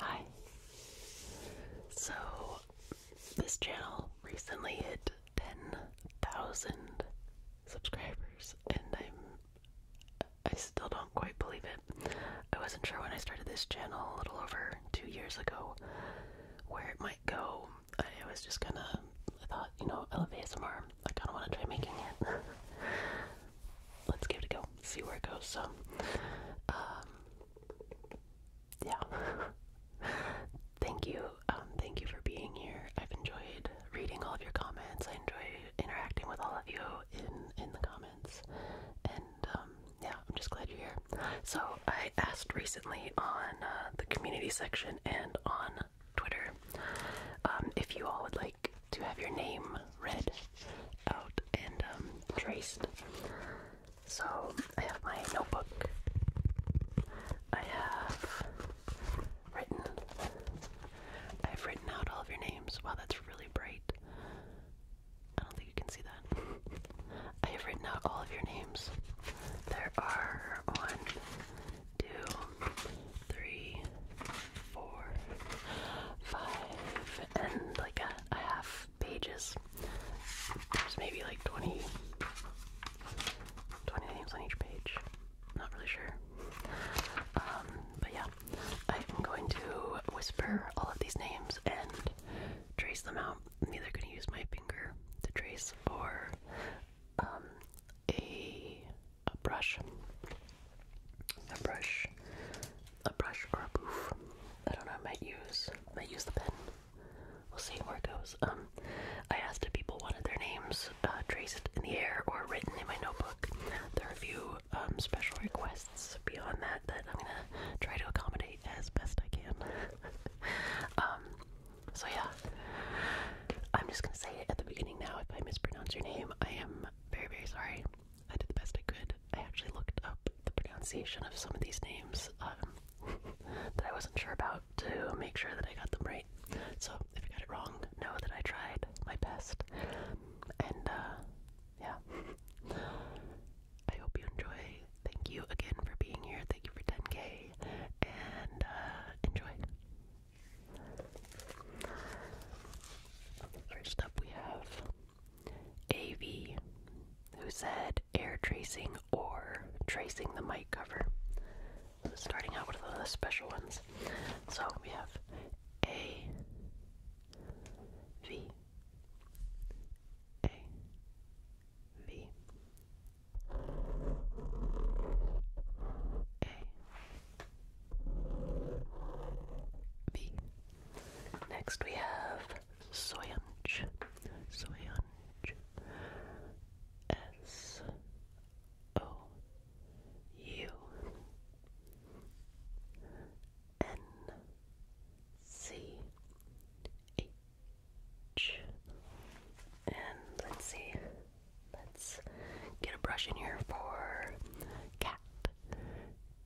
Hi. So, this channel recently hit 10,000 subscribers, and I'm. I still don't quite believe it. I wasn't sure when I started this channel a little over two years ago where it might go. I was just gonna. I thought, you know, elevate some more. I kinda wanna try making it. Let's give it a go, see where it goes. So, um, yeah. thank you. Um, thank you for being here. I've enjoyed reading all of your comments. I enjoy interacting with all of you in in the comments. And um, yeah, I'm just glad you're here. So I asked recently on uh, the community section and on Twitter um, if you all would like to have your name read out and um, traced. So I have my notebook. I have written. I've written out all of your names. Wow, that's really bright. I don't think you can see that. I have written out all of your names. There are one, two, three, four, five, and like a half pages. There's maybe like 20, 20 names on each page. I'm not really sure. Um, but yeah, I'm going to whisper all of these names and trace them out. I'm either going to use my finger to trace or um, a, a brush. A brush a brush or a poof. I don't know, I might use might use the pen. We'll see where it goes. Um I asked if people wanted their names uh, traced in the air or written in my notebook. There are a few um, special requests beyond that that I'm gonna try to accommodate as best I can. um so yeah. I'm just gonna say it at the beginning now if I mispronounce your name. I am very, very sorry. I did the best I could. I actually looked up the pronunciation of some of these names um, that I wasn't sure about to make sure that I got them right. So if I got it wrong, know that I tried my best. And uh, yeah, I hope you enjoy. Thank you again for being here. Thank you for 10k. And uh, enjoy. First up, we have AV, who said air tracing or tracing the mic cover. starting out with one of the special ones. So we have A, V, A, V, A, V. Next we have Soyanj, Soyanj, S O U N C H. And let's see, let's get a brush in here for. Cat Cat.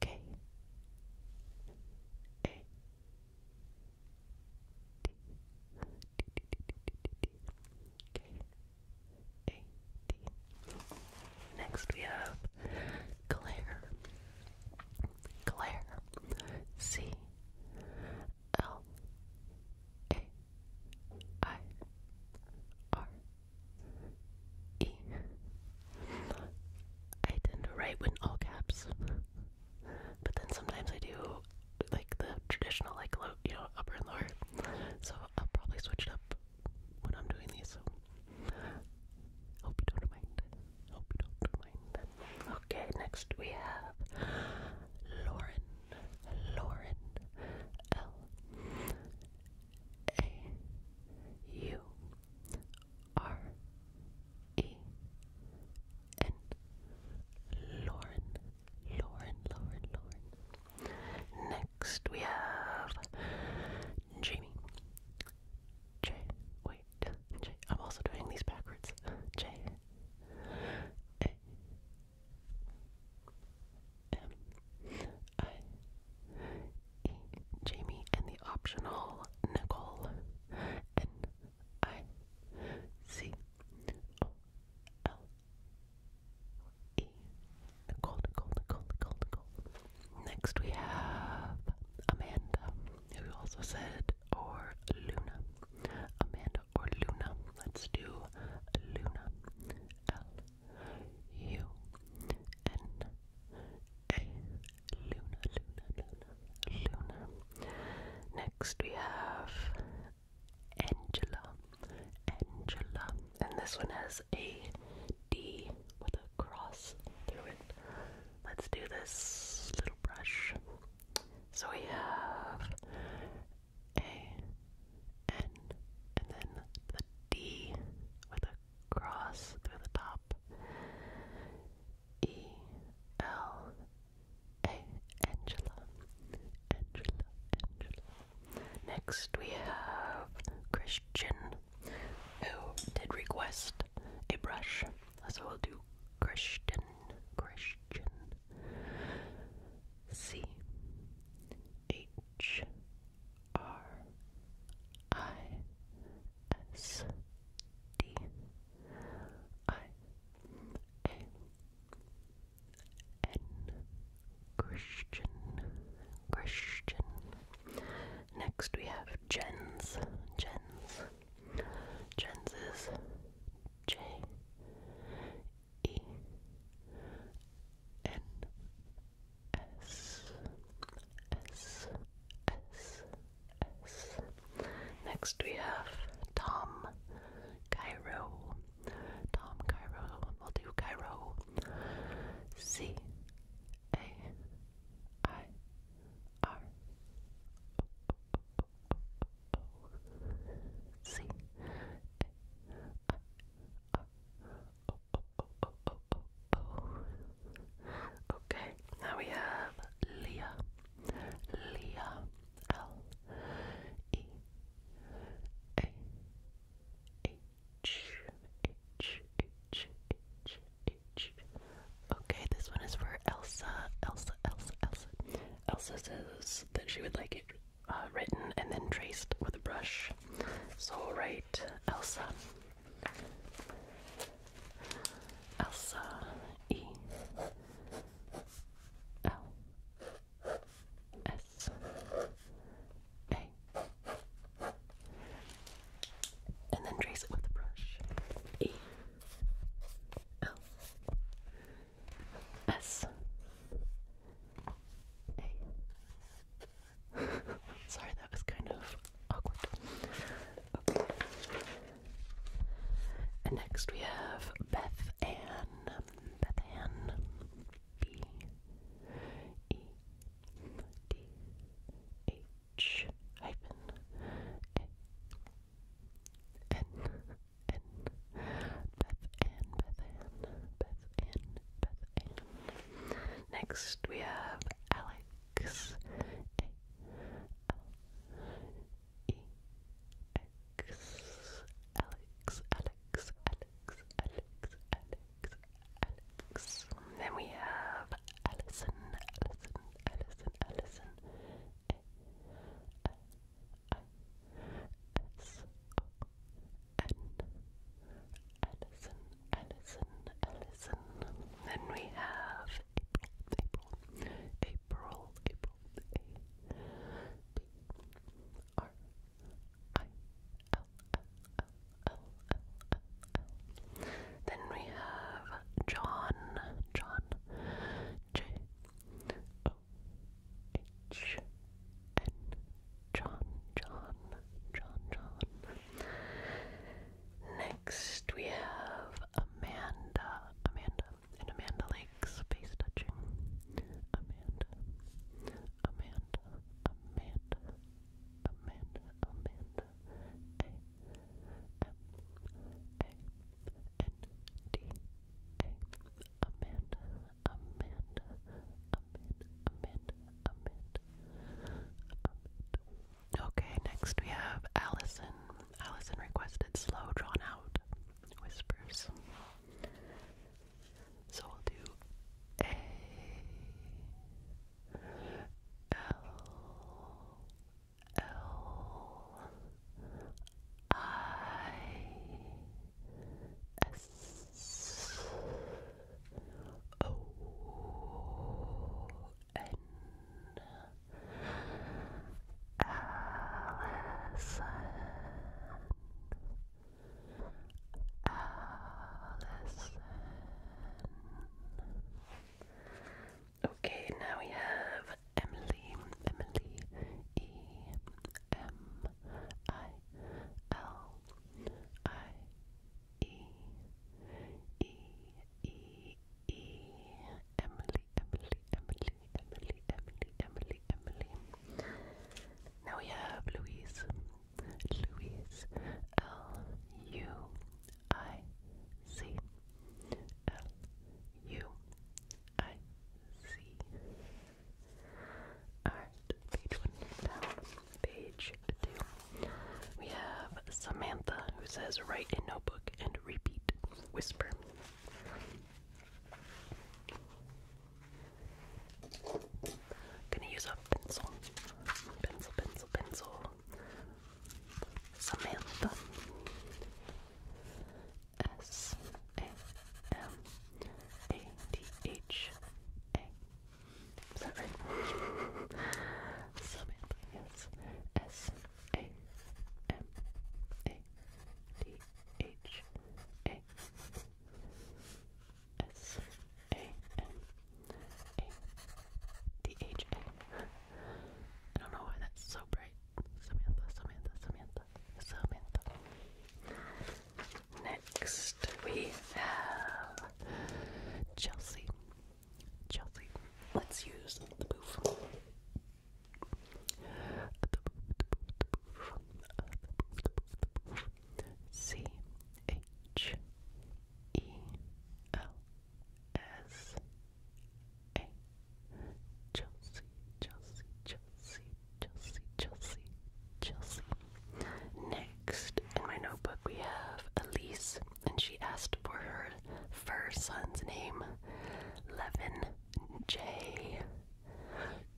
K. A. T. D. D. D. D. D. K. A. D. Next we have Claire. Claire. C. L. A. I. R. E. I tend to write with all caps, but then sometimes I do like the traditional, like low, you know, upper and lower. So I'll probably switch it up when I'm doing these. hope you don't mind. Hope you don't mind. Okay, next we have Lauren. Lauren. L. A. U. R E N Lauren, Lauren, Lauren, Lauren. Next we have Jamie. J. Wait, J. I'm also doing these backwards. J. A. M. I. Jamie and the optional Nicole. N I C O L E. Nicole, Nicole, Nicole, Nicole, Next we have Amanda, who also said, or Luna. Amanda or Luna. Let's do Luna. L U N A Luna, Luna, Luna, Luna. Next we have Angela, Angela, and this one has a D with a cross through it. Let's do this little brush. So we have a N and then the D with a cross through the top. E L A Angela Angela Angela. Next we have Christian who did request a brush. So we'll do Christian Christian C H R I S D I A N Christian Christian. Next we have Jens. Jens. Jens is J E N S S S Next we have Tom Cairo. Tom Cairo. We'll do Cairo. C A I R C A I R Okay, now we have Leah. Leah. L E A H H H H H. Okay, this one is for Elsa. Elsa, Elsa, Elsa. Elsa says that she would like it uh, written and then traced with a brush. So, write Elsa. Elsa E L S A and then trace it with the brush. E L S A Sorry, that was kind of awkward. And next we have Beth Ann. Beth Ann. B E D H hyphen Beth Ann. Beth Ann. Beth Ann. Beth Ann. Next we have Alex. A Alex, Alex, Alex, Alex, Alex, Alex. Then we have Allison, Allison, Allison, Allison. A I S O N. Allison, Allison, Allison. Then we have April, April, April, A B R I L L L L L L L. Then we have John, John, J O H N, John, John, John, John. Next we have Amanda, Amanda, and Amanda Lake's face touching. Amanda, Amanda, Amanda, Amanda, Amanda, A, M, A, N, D, A, Amanda, Amanda, Amanda, Amanda, Amanda, Amanda. Okay, next we have Allison. Allison requested slow, drawn out whispers. So we'll do A L L I S O N Allison, Allison. Okay, now we have Emily, Emily, E M I L I E E E E. Emily, Emily, Emily, Emily, Emily, Emily, Emily. Now we have Louise. Louise. L U I C. L U I C. Alright, page one down. Page two. We have Samantha who says write a notebook and repeat whisper. Gonna use a pencil. Pencil, pencil, pencil. Samantha. S A M A T H A. Is that right? Samantha, S a M A D H A S A M A D H A. I don't know why that's so bright. Samantha, Samantha, Samantha, Samantha. Next we have Chelsea. Chelsea, let's use the boof. C H E L S A. Chelsea, Chelsea, Chelsea, Chelsea, Chelsea, Chelsea. Next in my notebook we have Elise and she asked for her first son's name, Levin J.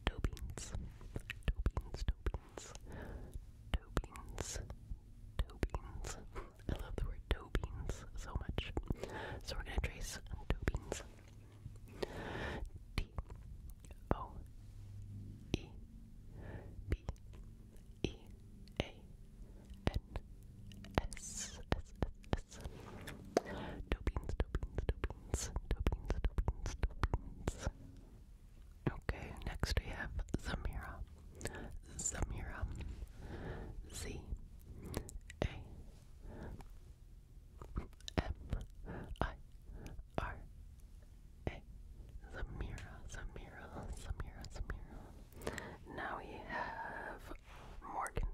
Dobins, Dobins, Dobins, Dobins, Tobins. I love the word Tobins so much. So we're going to trace Dobins. T O E B E A N S S S S Dopines, dopines, dopines, dopines, dopines, dopines. Okay, next we have Samira. Samira. Z A M I R A Zamira, Zamira, Zamira, Zamira. Now we have Morgan.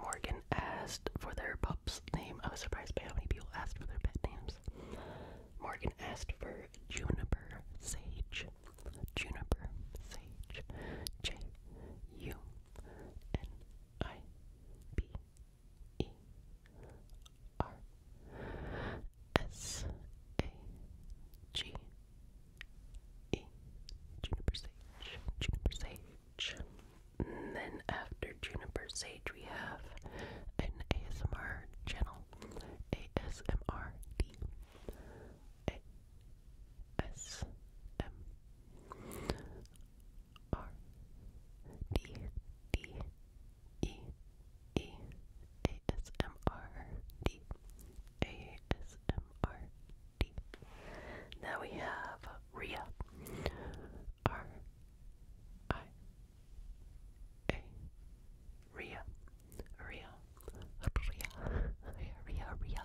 Morgan asked for their pup's name. I was surprised by how many people asked for their pet names. Morgan asked for Juniper Sage. Juniper Sage. J U N I B E R S A G Juniper sage. Juniper sage. And then after Juniper Sage, we have an ASMR channel. ASMR D. A S M R D D E E A S M R D A S M MRD. Now we have Ria. R I A. Ria. Ria. Ria. Ria. Ria.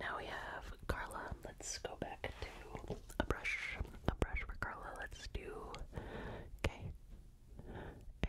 Now we have Carla. Let's go back to a brush. A brush for Carla. Let's do K. A.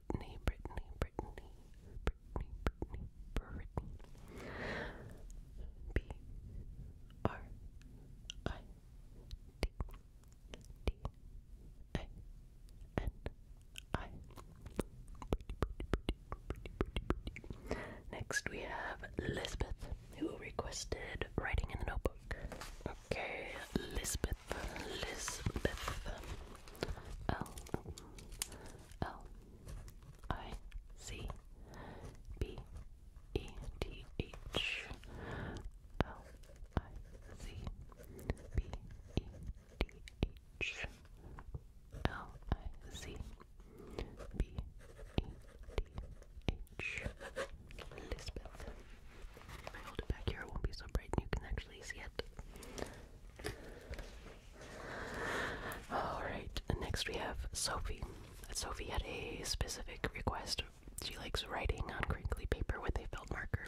Brittany, Brittany, Brittany, Brittany, Brittany, Brittany. B R I D D A N I. Next we have Elizabeth, who requested writing in the notebook. Okay, Lisbeth, Lisbeth, L L I C B E T H L I C B E T H L I C B E T H Lisbeth. If I hold it back here, it won't be so bright and you can actually see it. Alright, next we have Sophie. Sophie had a specific request. She likes writing on crinkly paper with a felt marker.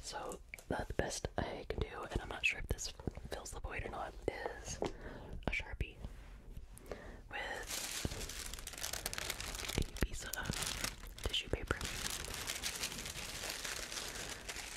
So, the best I can do, and I'm not sure if this fills the void or not, is a sharpie with a piece of tissue paper.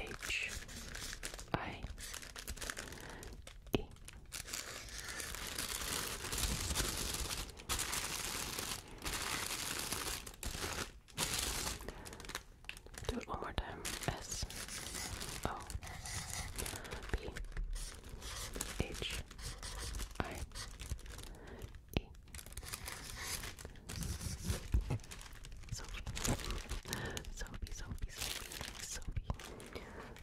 H I E. Do it one more time. S O B H I E. Sophie. Sophie, Sophie, Sophie, Sophie.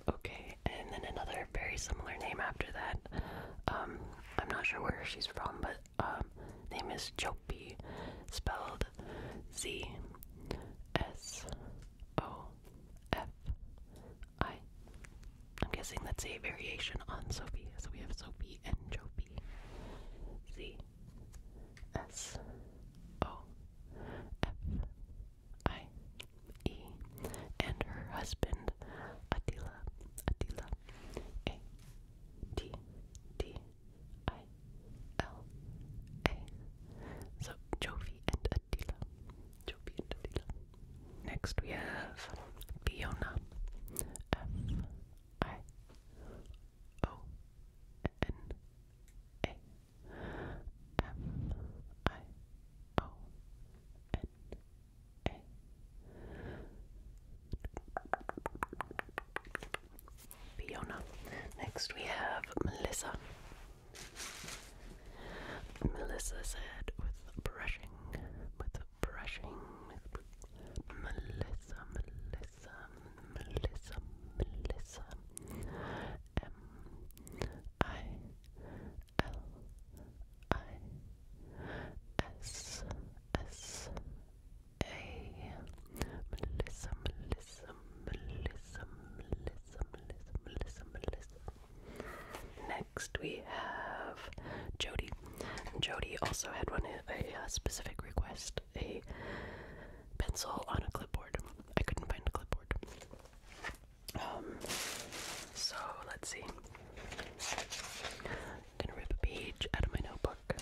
Okay, and then another very similar name after that. Um, I'm not sure where she's from, but um, name is Chopi, spelled Z S O F I. I'm guessing that's a variation on Sophie, so we have Sophie. B Z S O F I E and her husband Attila Attila A T T I L A So Jovi and Attila Jovi and Attila Next we have Fiona F I O N A M I O N A Fiona. Next we have Melissa. Melissa said with brushing with brushing Melissa, Melissa, Melissa, Melissa. M I L I S S A Melissa, Melissa, Melissa, Melissa, Melissa, Melissa. Next we have Jody Jody also had one a, uh, specific request: a pencil on a clipboard. I couldn't find a clipboard. Um. So let's see. I'm gonna rip a page out of my notebook. And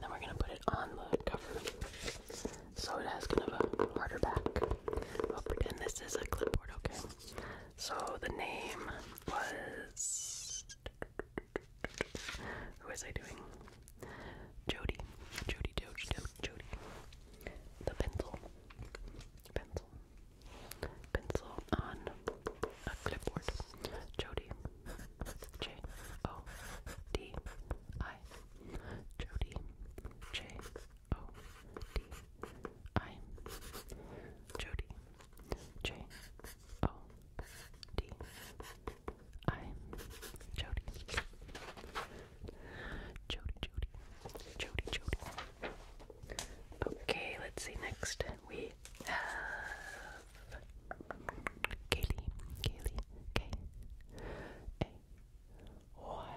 then we're gonna put it on the cover. So it has kind of a harder back. I'll pretend this is a clipboard, okay? So the name was. Who was I doing? Jody. Jody, Jody, Jody, Jody. The pencil. Pencil. Pencil on a clipboard. Jody. J O D I. Jody. J O D I Jody J O D I Jody Jody Jody Jody Jody Okay, let's see next we have Kaylee Kaylee K A Y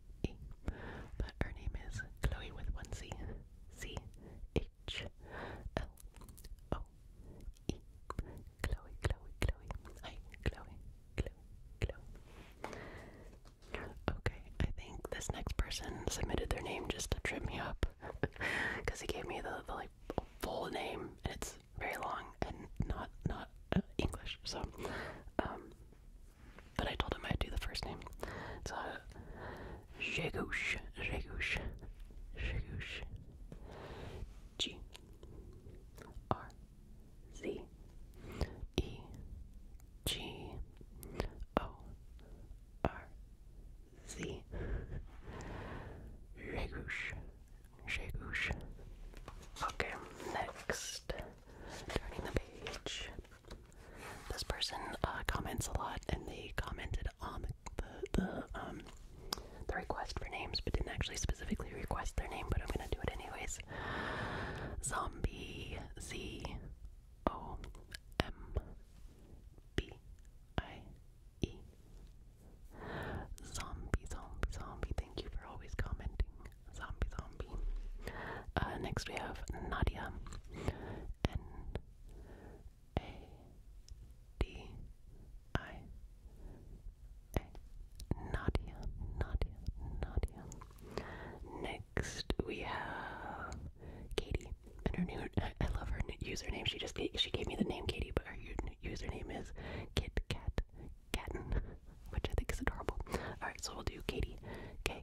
but her name is Chloe with one C. C H L O E. Chloe, Chloe, Chloe. Hi, Chloe, Chloe, Chloe. Okay, I think this next person submitted their name just to trip me up. Because he gave me the, like full name and it's very long and not not uh, English. So um, but I told him I'd do the first name. So, uh, Jegoosh, Jegoosh, Jegoosh. G R Z E G O R Z. Jegoosh, Jegoosh. Okay, next. Turning the page. This person uh, comments a lot, and they commented on the the, the um the request for names, but didn't actually specifically request their name. But I'm gonna do it anyways. Zombie Z O M B I E. Zombie, zombie, zombie. Thank you for always commenting. Zombie, zombie. Uh, next we have Nadia. N A D I A Nadia, Nadia, Nadia. Next we have Katie and her new I love her user name. She just gave, she gave me the name Katie, but her username is Kit Cat which I think is adorable. All right, so we'll do Katie Okay.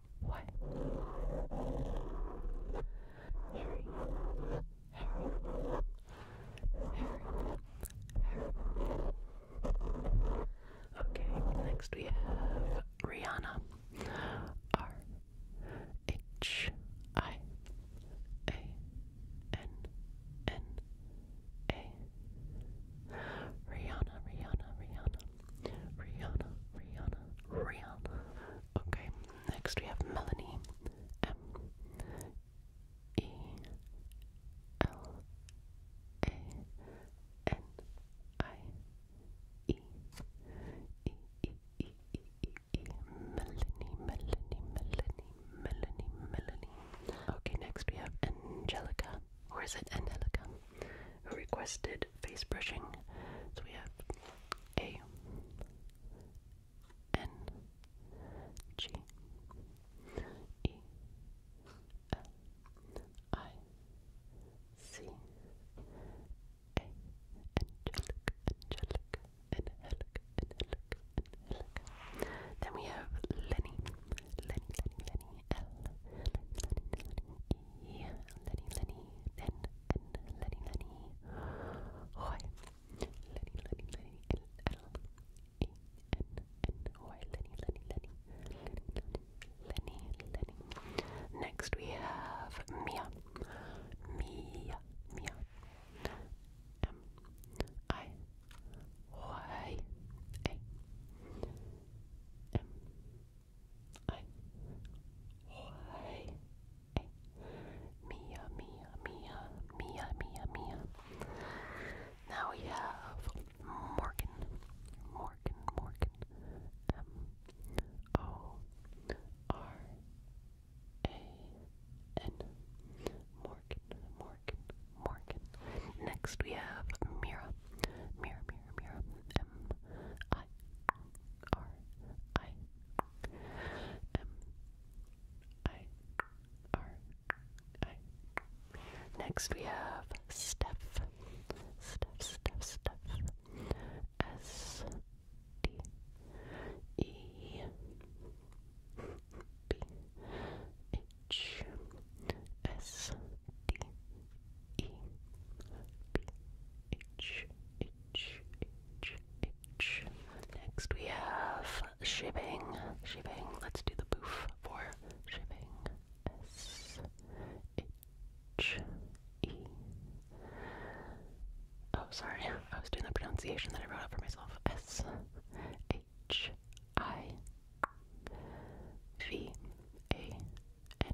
what? Harry. Harry. Harry. Harry. Okay, next we have Rihanna. R H I A N N A. Rihanna, Rihanna, Rihanna. Rihanna, Rihanna, Rihanna, Okay, next we have Melanie. M E L A N I E E E E E E E Melanie Melanie Melanie Melanie Melanie. Okay, next we have Angelica, or is it Angelica, who requested face brushing. So we have a N G E L I C A Angelic, Angelic, Angelic, Angelic, Angelic. Then we have Lenny, Lenny, Lenny, Lenny, L, Lenny, Lenny, Lenny, E, Lenny, Lenny, then Lenny Lenny Hoy Lenny Lenny Lenny L L E N N Hoy Lenny Lenny Lenny Lenny Lenny Lenny Next we have Mia Mia Mia M I Y A M ein Hai. Mia, Mia, Mia, Mia, Mia, Mia. Now we have Morgan, Morgan, Morgan. M O R A N. Morgan, Morgan, Morgan. Next we have Mira, Mira, Mira, Mira. M I R I M I R I. Next we have Steph. Steph, Steph, Steph. S D E B H S D E B H E Next we have shipping. Shipping. Let's do the boof for shipping. S, H, E. Oh, sorry. I was doing the pronunciation that I wrote up for myself. S, H, I, V, A, N,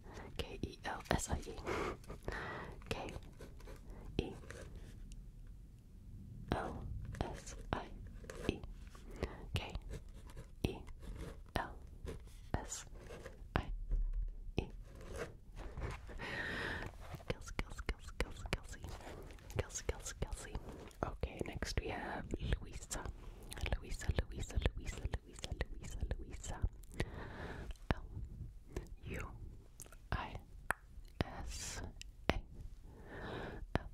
K E L S I E. K E L S I E. K E L S I E. Okay, next we have Luisa. Luisa, Luisa, Luisa, Louisa, Louisa, Louisa, L U I S A. L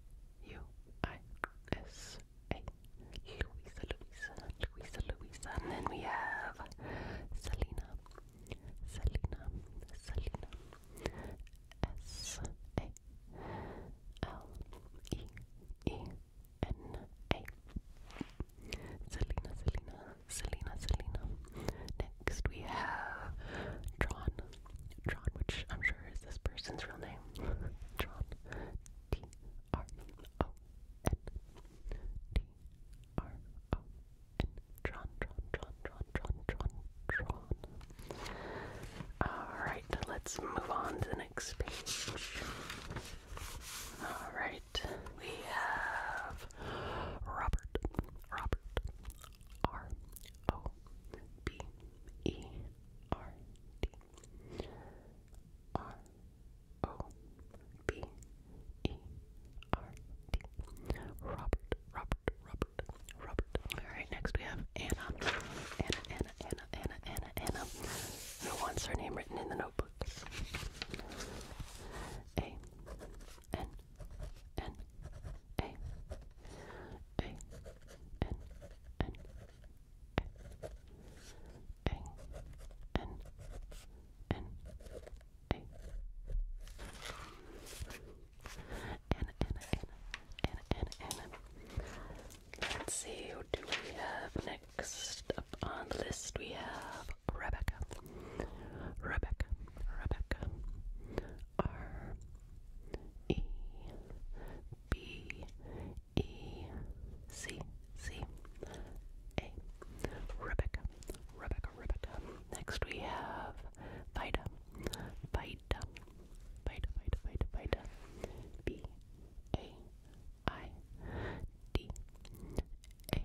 U I S A. Louisa, Luisa, Luisa, Luisa. And then we have Selena, Selena, Selena. S A L E E N-A. Selena, Selena, Selena, Selena. Next we have Tron. Tron, which I'm sure is this person's real name. Tron. T R O N. T R O N. Tron, Tron, Tron, Tron, Tron, Tron, Tron. Alright, let's move on to next comics page. Alright, we have Robert, Robert, R O B E R D. R O B E R D. Robert, Robert, Robert, Robert. Alright, next we have Anna, Anna, Anna, Anna, Anna, Anna, who wants her name written in the notebook. A, N, N, A, A, N, N, A, A, N, N, A. Anna, Anna, Anna, Anna, Anna, Anna. Let's see, who do we have next? up on the list, we have Rebecca. Rebecca. Rebecca. R E B E C C A. Rebecca. Rebecca. Rebecca. Next we have Vida. Vida. Vida. Vida. Vida. Vida. B A I D A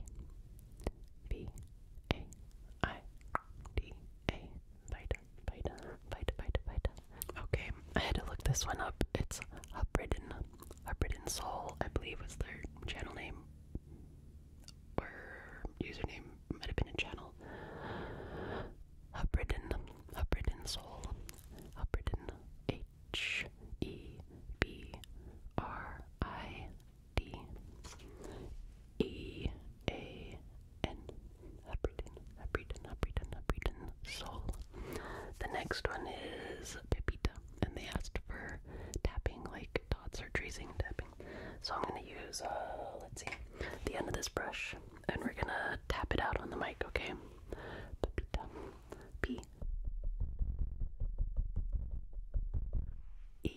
B A I D A Vita Vita Vita Vita Vita. Okay, I had to look this one up. It's Hubridden. Hubridden Soul, I believe was their channel name. Or username might have been a channel. Hubridden. Hubridden Soul. Hubridden H E B R I D E A N Abridin, Abridin, Abridin, Abridin, Soul. The next one is Pepita, and they asked for tapping, like dots or tracing tapping. So I'm gonna use, uh, let's see, the end of this brush, and we're gonna tap it out on the mic, okay? Pepita. P E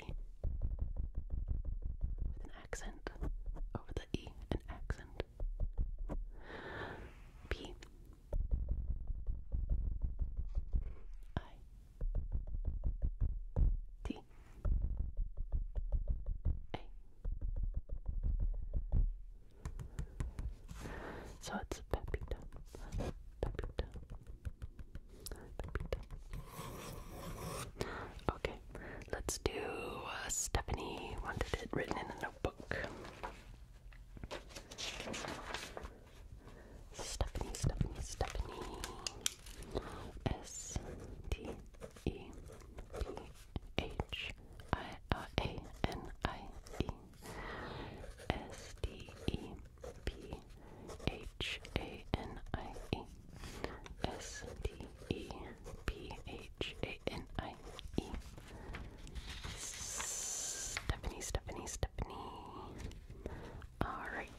with an accent over the E, an accent. P I T A so it's Pepita. Pepita. Pepita. Okay, let's do uh, Stephanie wanted it written in a notebook. Stephanie, Stephanie, Stephanie. S T E P H I R A N I E. S D E P H A N I E S D E P H A N I E Stephanie, Stephanie, Stephanie. Alright.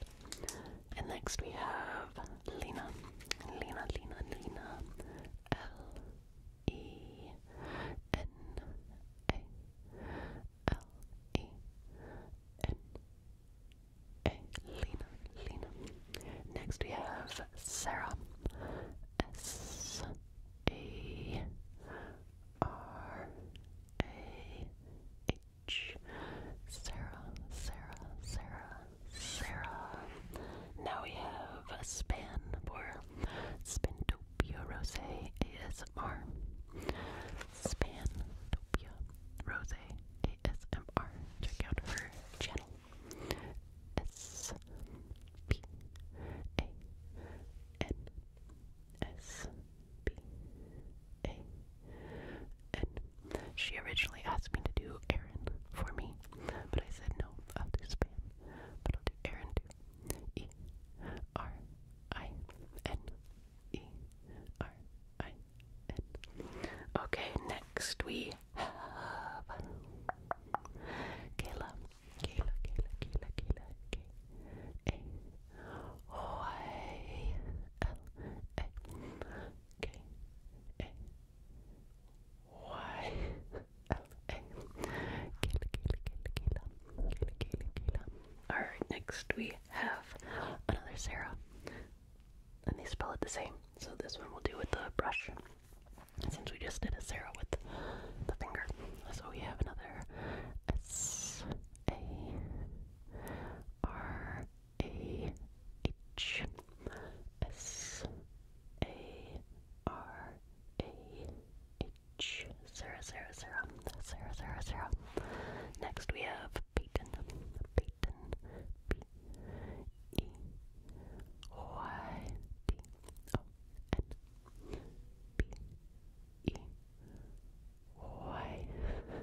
And next we have Lena. Lena, Lena, Lena. L E N A L E N A Lena Lena. Next we have Sarah S A R A H Sarah Sarah Sarah Sarah. Now we have a span for spin to Rose ASMR. Spantopia Rose ASMR. Check out her channel. S P A N S P A N. She originally asked me to do Aaron for me, but I said no, I'll do Span, but I'll do Aaron too. E R I N E R I N. Okay, next we have Kayla. Kayla, Kayla, Kayla, Kayla, K A Y L A K A Y Alright, next we have another Sarah. And they spell it the same. So this one we'll do with the brush. Since we just did a Sarah with the finger. So we have another S A R A H S A R A H H zero zero zero zero zero zero. Next we have Peyton. Peyton P E Y T O N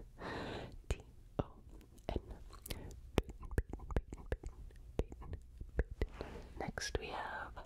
P E Y T O N Peyton Peyton Peyton Peyton Peyton Peyton. Next we have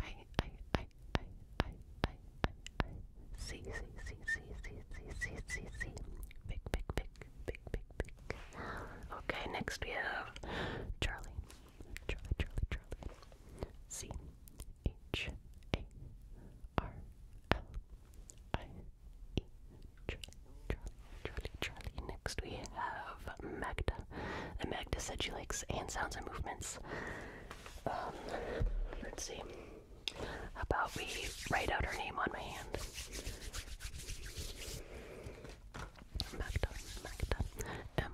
I I I I I I I Okay next we have Charlie Charlie Charlie Charlie C H A R L I E Charlie Charlie Charlie Charlie next we have Magda Amagda said she likes hand sounds and movements. Um, let's see. How about we write out her name on my hand? Magda, M.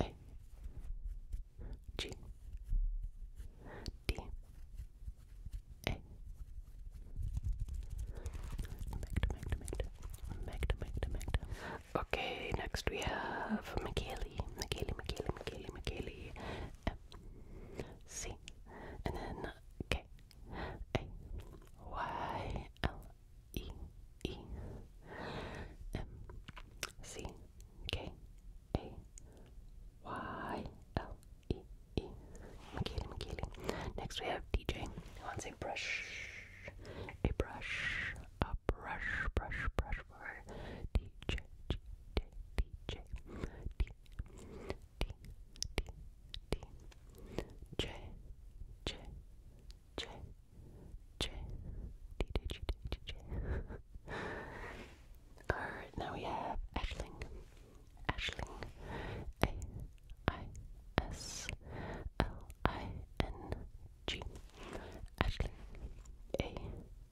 A. G. D. A. Magda, Magda, Magda. Magda, Magda, Magda. Okay, next we have Michaeli. Michaeli, Michaeli, Michaeli, Michaeli. M. C. And then K. A. Y. L. E. E. M. C. K. A. Y. L. E. E. Michaeli, Michaeli. Next we have DJ. Who wants a brush? a brush, a brush, brush, brush brush. DJ, DJ, DJ, D, D, D, D, J, J, J, J, DJ, DJ, DJ. Alright, now we have Ashling, Ashling, I S L I N G. Ashley. A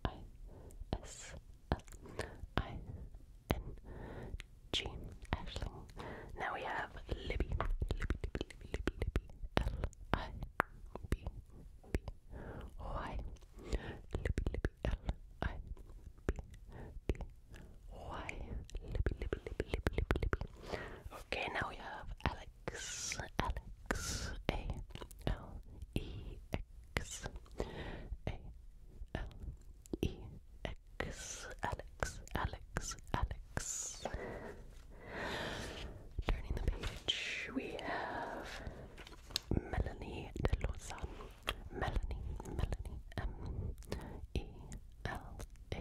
I S L I N G. Ashling. Now we have Libby. Libby, Libby, Libby, Libby, L I B B Y. Libby, Libby, L I B B why? Libby, Libby, Libby, Libby, Libby, Libby. Okay, now we have Alex. Alex. A L E X. A L E X. Alex. Alex. Alex. Turning the page, we have Melanie de Lausanne. Melanie. Melanie. M E L A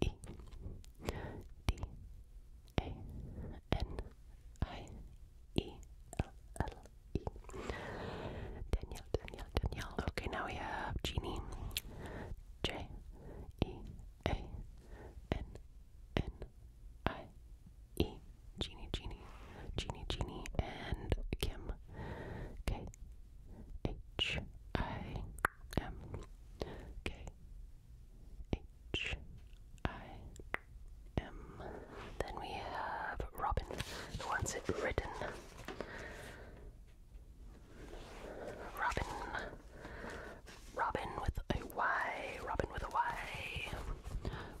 E D A N I E L L E. Danielle, Danielle, Danielle. Okay, now we have Jeannie. J E A N N I E. Jeannie, Jeannie, Jeannie, Jeannie, and Kim. K H I M K H I M. Then we have Robin, who it written. Robin. Robin with a Y. Robin with a Y.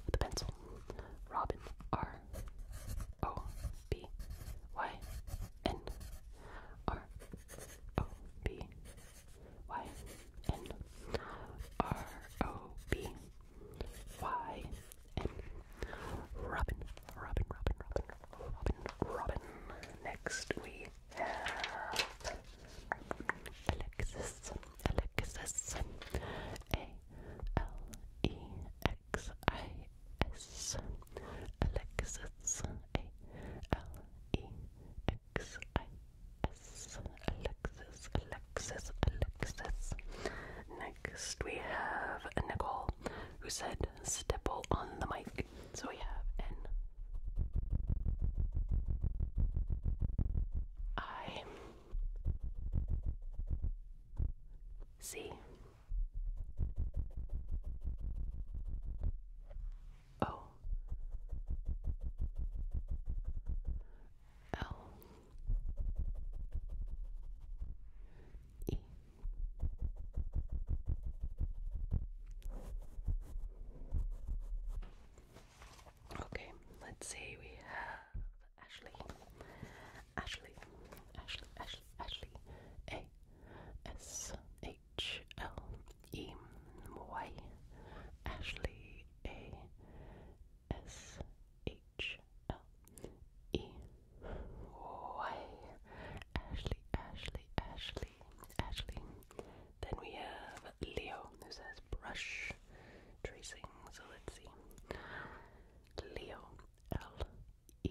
With a pencil. Robin. R. O. B. Y. N. R. O B Y N R O B Y N Robin, Robin, Robin, Robin, Robin, Robin. Next we have Alexis, Alexis, A L E X I S, Alexis, A L Alexis, Alexis, Alexis. Next, we have Nicole, who said stipple on the mic. So we have N I C O L E Okay, let's say we have Ashley, Ashley, Ashley, Ashley, Ashley, A S A H L E Y Ashley A S H L E Y Ashley Ashley Ashley Ashley. Then we have Leo who says brush tracing. So let's see. Leo L E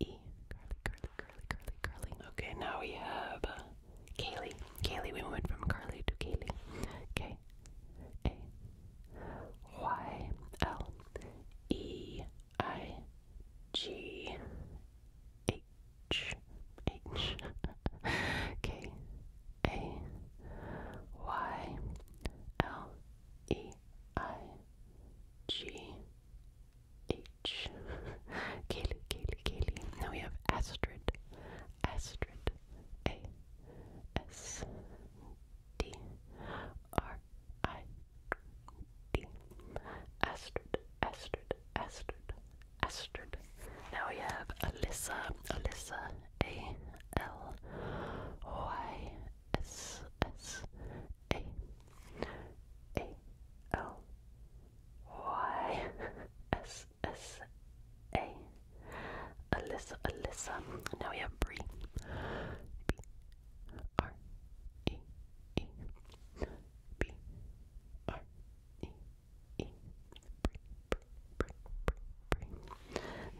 E. Curly, curly, curly, curly, curly. Okay, now we have uh, Kaylee. Kaylee, we went from Carly to Kaylee. K. A. Y. L. E. I. G. H. H. K. A. Y. L. E. I. G. H. Kaylee, Kaylee, Kaylee. Now we have Astrid. Astrid. A. S. D. R. I. D. Astrid, Astrid, Astrid, Astrid. Now we have Alyssa. Alyssa. A. L. Y. S. S. A. A L Y S S A Alyssa Alyssa. Now we have Bree.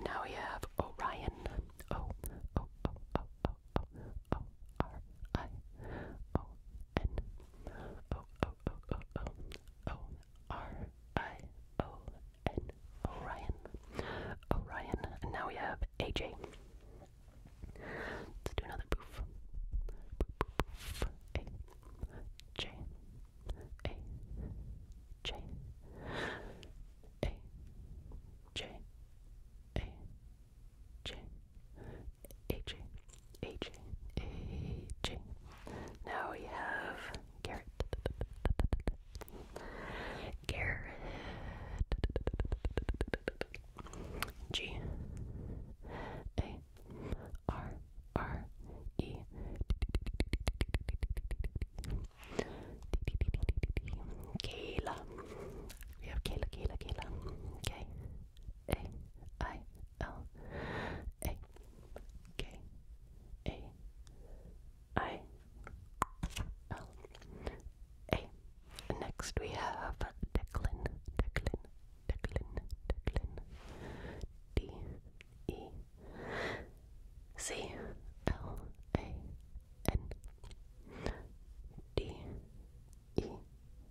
Now we have Orion. O O O O O O R I O N O O O O O O R I O N Orion Orion and now we have AJ. Let's do another poof. A J A J A J A J, AJ, AJ, AJ. Now we have Garrett, Garrett, G, A, R, R, E, Kayla. We have Kayla, Kayla, Kayla. Okay. A I L A K A I L A. Next we have Declan, Declan, Declan, Declan. D E C L A N D E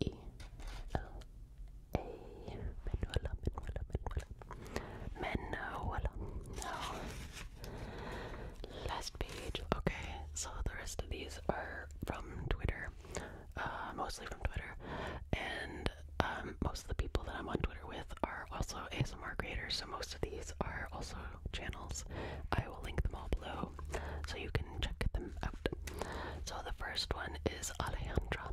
E L A Manuela, Manuela, Manuela. Manuela. Last page. Okay, so the rest of these are from Twitter. mostly from Twitter. And most of the people that I'm on Twitter with are also ASMR creators, so most of these are also channels. I will link them all below so you can check them out. So the first one is Alejandra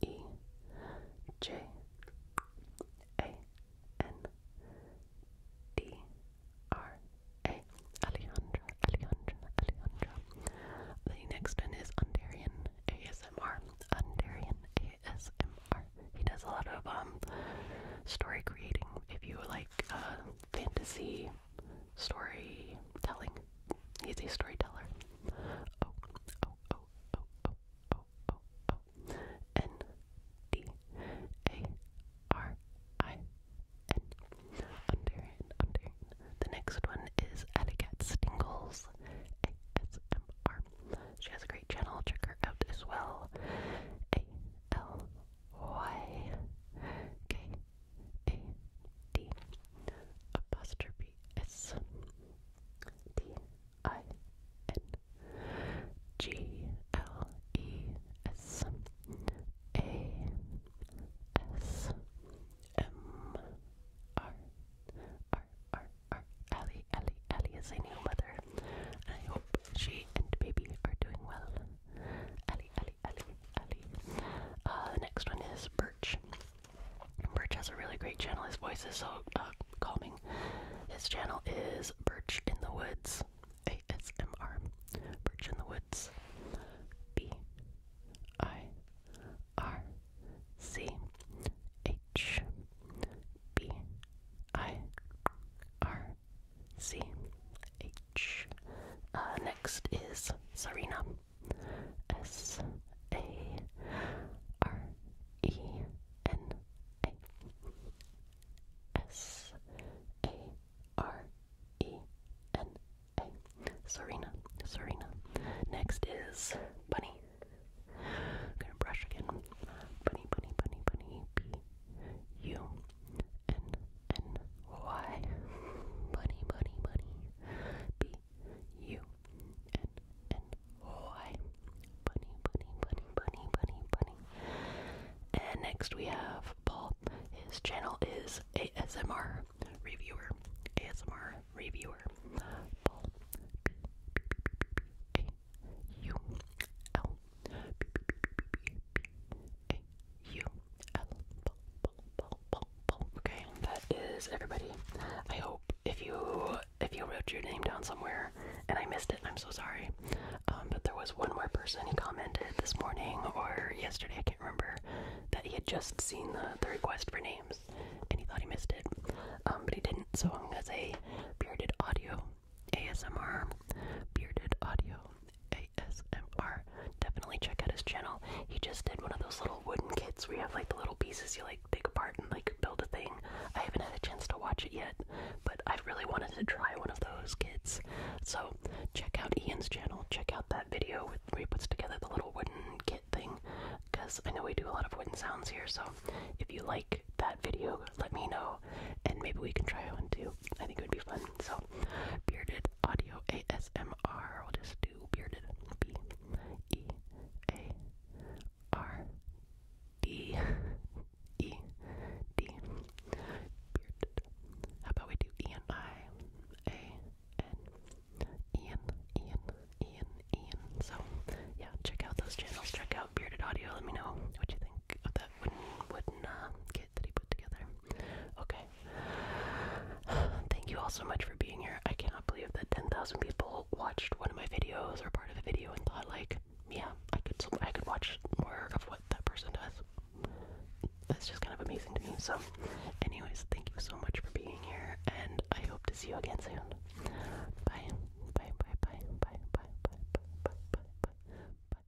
E J A N D R A Alejandra Alejandra Alejandra. The next one is Ondarian ASMR. Ondarian ASMR. He does a lot of um story creating if you like uh, fantasy story telling, He's a storyteller. Oh, oh, oh, oh, oh, O O O N D A R I N. Underhand, underhand. The next one is Etiquette Stingles ASMR. She has a great channel. Check her out as well. A L Y K A D apostrophe S D I N G L E S A S M R R R R Allie Allie Allie is a new mother and I hope she and baby are doing well. Allie Allie Allie Allie. Uh the next one is Birch. Birch has a really great channel. His voice is so uh, calming. His channel is Birch in the Woods. It's ASMR. Birch in the Woods. B I R C H B uh, I R C H. next is Serena. S A R E N A S A R E N A Serena Serena. Next is Bunny. gonna brush again. Bunny bunny bunny bunny B U N N Y Bunny bunny bunny B you and and why bunny bunny bunny bunny bunny bunny and next we have Paul his channel is ASMR reviewer ASMR reviewer Paul B B B A U L B B B A U L Paul Paul Paul Paul Paul okay that is everybody I hope if you if you wrote your name down somewhere and I missed it, I'm so sorry. Um, but there was one more person who commented this morning or yesterday, I can't remember, that he had just seen the, the request for names and he thought he missed it. Um, but he didn't, so I'm gonna say bearded audio ASMR, bearded audio ASMR. Definitely check out his channel. He just did one of those little wooden kits where you have like the little pieces you like take apart and like build a thing. I haven't had a chance to watch it yet, but I really wanted to try one of those kits. So check out Ian's channel. Check out that video where he puts together the little wooden kit thing, because I know we do a lot of wooden sounds here. So if you like that video, let me know, and maybe we can try one too. I think it would be fun. So bearded audio ASMR. We'll just do bearded B E. A R D E D. Bearded. How about we do E N I A N Ian Ian Ian Ian. So yeah, check out those channels. Check out Bearded Audio. Let me know what you think of that wooden wooden uh, kit that he put together. Okay. Thank you all so much for being here. I can't cannot believe that 10,000 people watched one of my videos or part of a video and thought like, yeah, I could I could watch more of what that person does. That's just kind of amazing to me. So, anyways, thank you so much for being here, and I hope to see you again soon. Bye, bye, bye, bye, bye, bye, bye, bye, bye, bye, bye, bye.